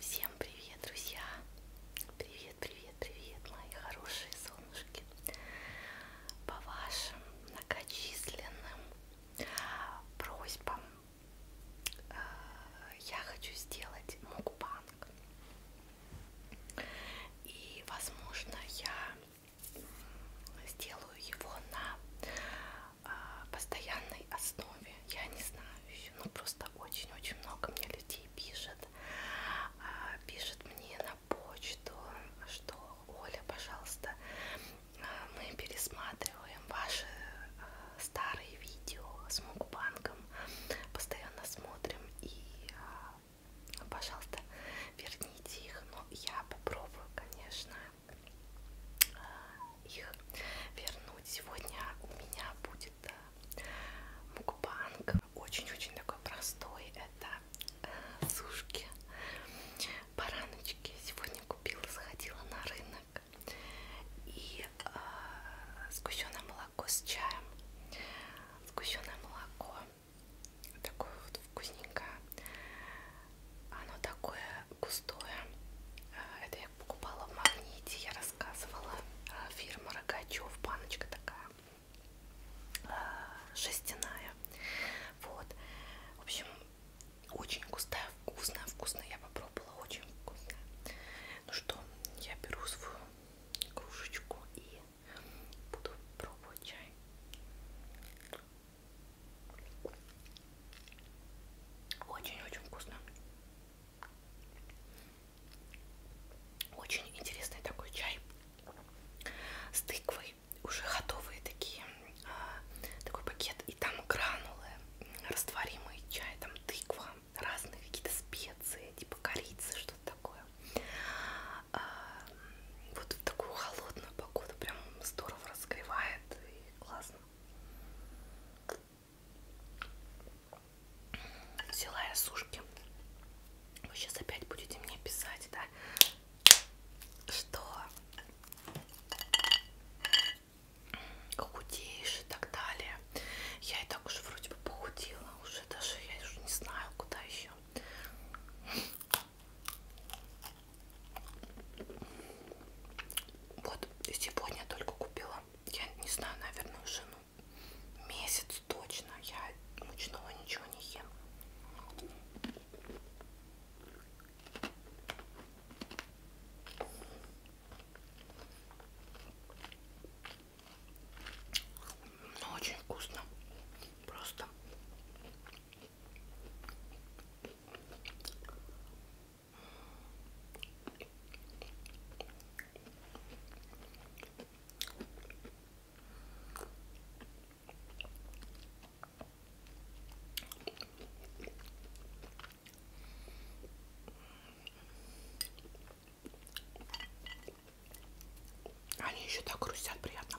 Всем привет, друзья! Привет, привет, привет, мои хорошие солнышки! По вашим многочисленным просьбам э, я хочу сделать мукбанг. И, возможно, я сделаю его на а, постоянной основе. Я не знаю еще, но ну, просто очень-очень много мне людей пишет. А, пишет мне на почту, что Оля, пожалуйста, а, мы пересматриваем ваши старые видео с мукбанком, постоянно смотрим и, пожалуйста, верните их. Но я попробую, конечно, их вернуть. Сегодня у меня будет э, мукбанг. Очень-очень такой простой. Это э, сушки, бараночки. Сегодня купила, сходила на рынок. И э, сгущенное молоко с чаем. Сгущенное молоко. Такое вот вкусненькое оно такое густое. А, это я покупала в магните, я рассказывала. А, фирма Рогачев, баночка такая жестяная. А, вот. В общем, очень густая, вкусная, вкусная. Я попробовала, очень вкусная. Ну что, я беру свою кружечку и буду пробовать чай. Очень-очень вкусно. Очень интересный такой чай с тыквой. Уже готовые такие, а, такой пакет. И там гранулы, растворимый чай, там тыква, разные какие-то специи, типа корицы, что-то такое. А, вот в такую холодную погоду прям здорово разогревает и классно взяла я сушки. Вы сейчас опять будете мне писать, да? Что худеешь и так далее. Я и так уже вроде бы похудела. Уже даже я уже не знаю, куда еще. Вот, и сегодня только купила, я не знаю, наверное, уже ну, месяц точно, я мучного ничего не ем. Но ну, очень вкусно, просто они еще так грустят приятно.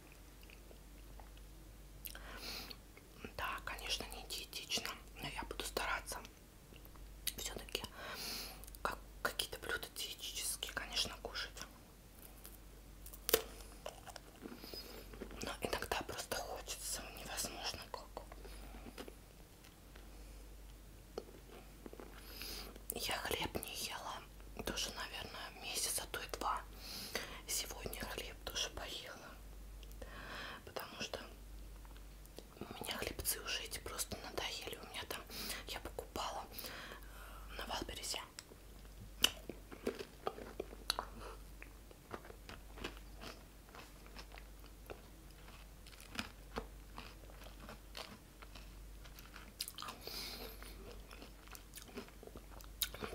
Да, конечно, не диетично, но я буду стараться. Все-таки как, какие-то блюда диетические, конечно, кушать. Но иногда просто хочется, невозможно как. Я хлеб не ела тоже, наверное, месяц, а то и два. Сегодня хлеб тоже поела, потому что у меня хлебцы уже эти просто надоели. У меня там, я покупала э, на Валбересе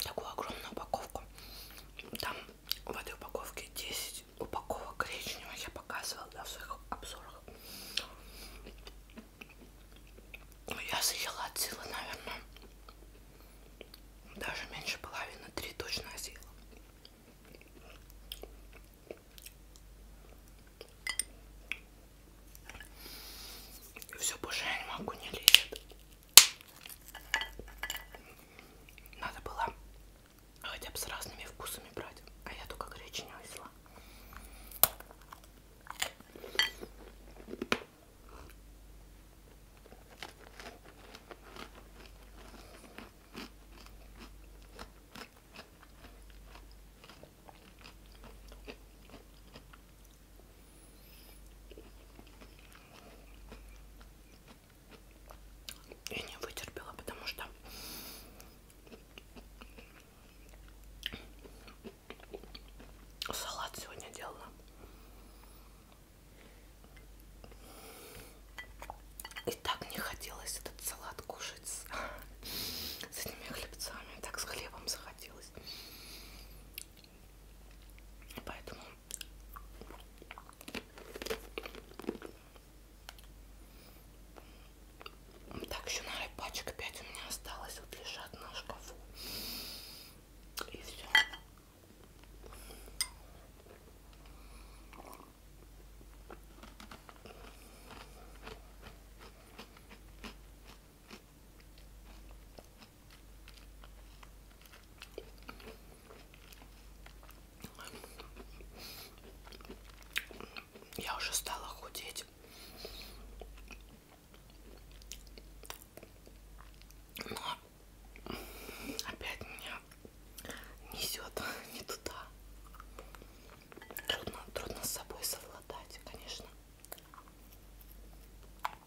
такую огромную упаковку. Там в этой упаковке 10 упаковок гречневого я показывала да, в своих обзорах. Ну, я съела от силы, наверное, даже меньше половины, три точно съела. И все, больше я не могу, не лезет. Надо было хотя бы с разными вкусами брать, а я только гречневую взяла. Я не вытерпела, потому что салат сегодня делала. И так мне хотелось этот салат кушать с, с этими хлебцами. Так с хлебом захотелось. Поэтому так еще на пачек 5 у меня осталось. Вот лежат на шкафу. И все. Я уже стала худеть. Но опять меня несет не туда. Трудно, трудно с собой совладать, конечно.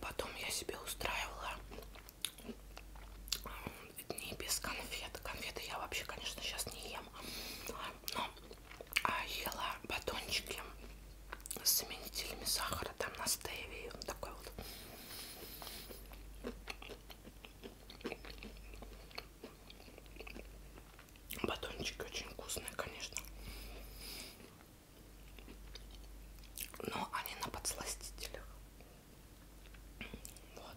Потом я себе устраивала э, дни без конфет. Конфеты я вообще, конечно, сейчас не ем. Но а, ела батончики с заменителями сахара там на стеве. Вот такой вот. Батончики очень вкусные, конечно но они на подсластителях. Вот.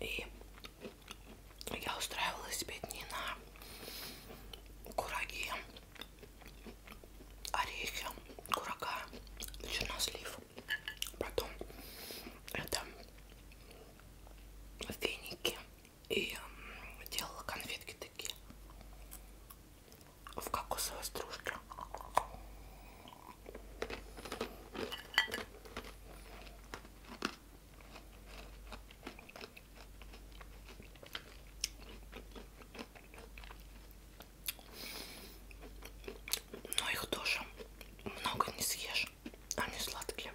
И я устраивала себе дни на кураги, орехи, курага, чернослив. Потом это веники и делала конфетки такие в кокосовой стружке. Но их тоже много не съешь, они сладкие.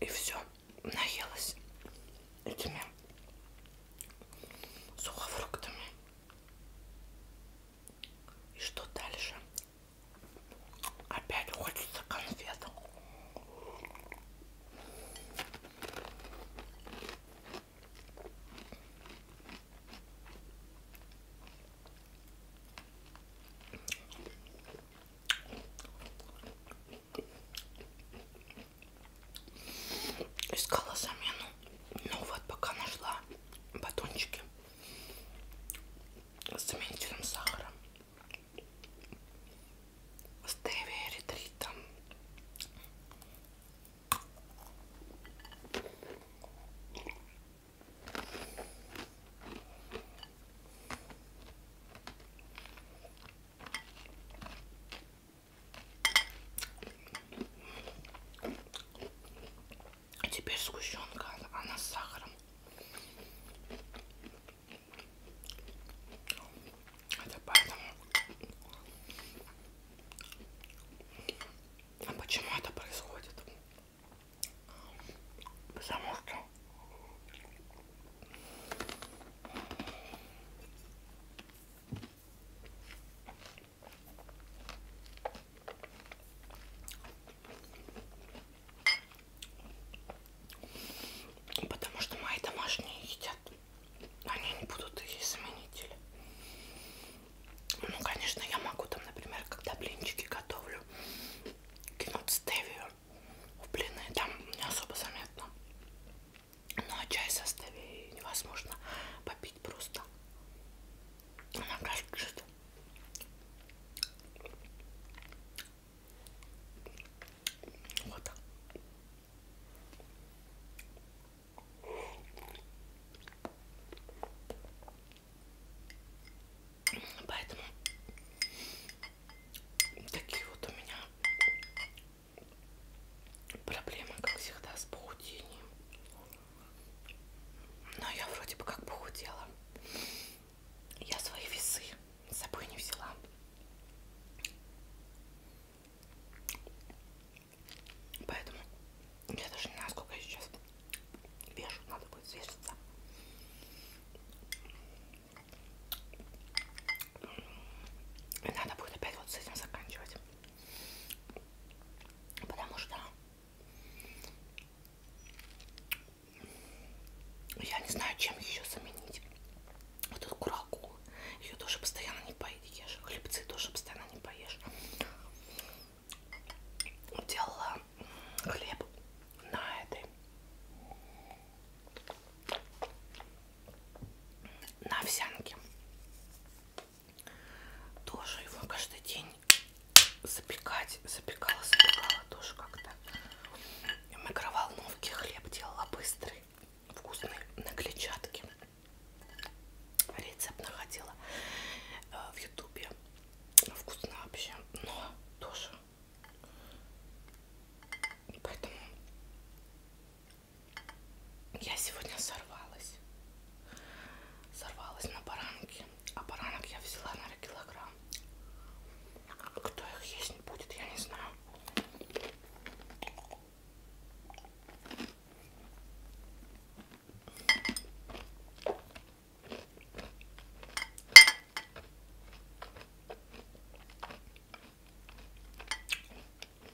И все наелась этими сухофруктами. И что дальше? Опять хочется конфет искала замену. Ну вот, пока нашла батончики с заменителем сахара. С Дэви ретритом. А теперь сгущенка, она с сахаром. Это поэтому. А почему это происходит? Потому что Потому что мои домашние едят. Они не будут их заменители. Ну, конечно, я могу там, например, когда блинчики готовлю, кинуть стевию в блины. Там не особо заметно. Ну а чай составе невозможно попить просто. Она кажется. Вот. Поэтому такие вот у меня Проблема, как всегда, с похудением. Но я вроде бы как похудела. Я свои весы с собой не взяла. Поэтому я даже не знаю, сколько я сейчас вешу. Надо будет взвеситься. И надо будет опять вот с этим заканчивать. Потому что я не знаю, чем еще заменить. Вот эту курагу. Ее тоже постоянно не поедешь. Хлебцы тоже постоянно не поешь. Делала хлеб на этой на овсянке. Тоже его каждый день запекать. Запекала, запекала тоже как-то. И в микроволновке хлеб делала быстрый, вкусный, на клетчатке. Рецепт находила э, в ютубе. Вкусно вообще, но тоже. Поэтому я сегодня сорвалась. Сорвалась на баранки. А баранок я взяла, наверное, килограмм. Кто их есть не будет, я не знаю.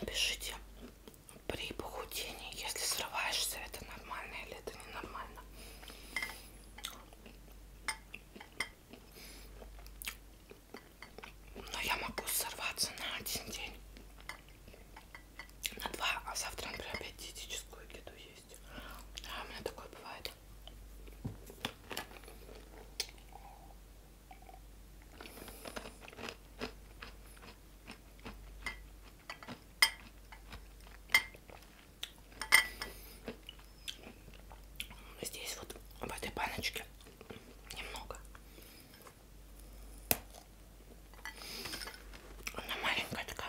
Напишите при похудении, если срываешься, это нормально или это ненормально. Но я могу сорваться на один день, на два, а завтра, например, опять диетическую еду есть есть. А у меня такое бывает. Здесь вот в этой баночке немного. Она маленькая такая.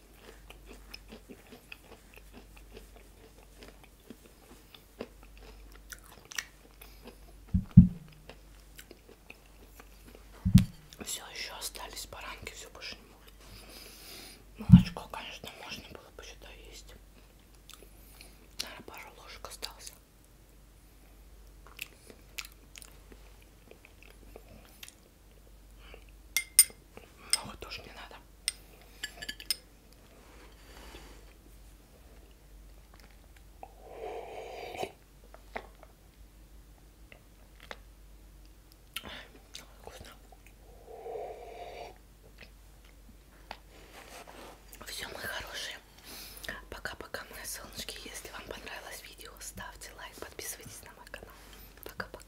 Все еще остались баранки, все больше не могут. Молочко, конечно, можно было бы сюда есть. Наверное, пару ложек осталось. Много тоже не надо. Вкусно. Все, мои хорошие. Пока-пока, мои солнышки. Если вам понравилось видео, ставьте лайк, подписывайтесь на мой канал. Пока-пока.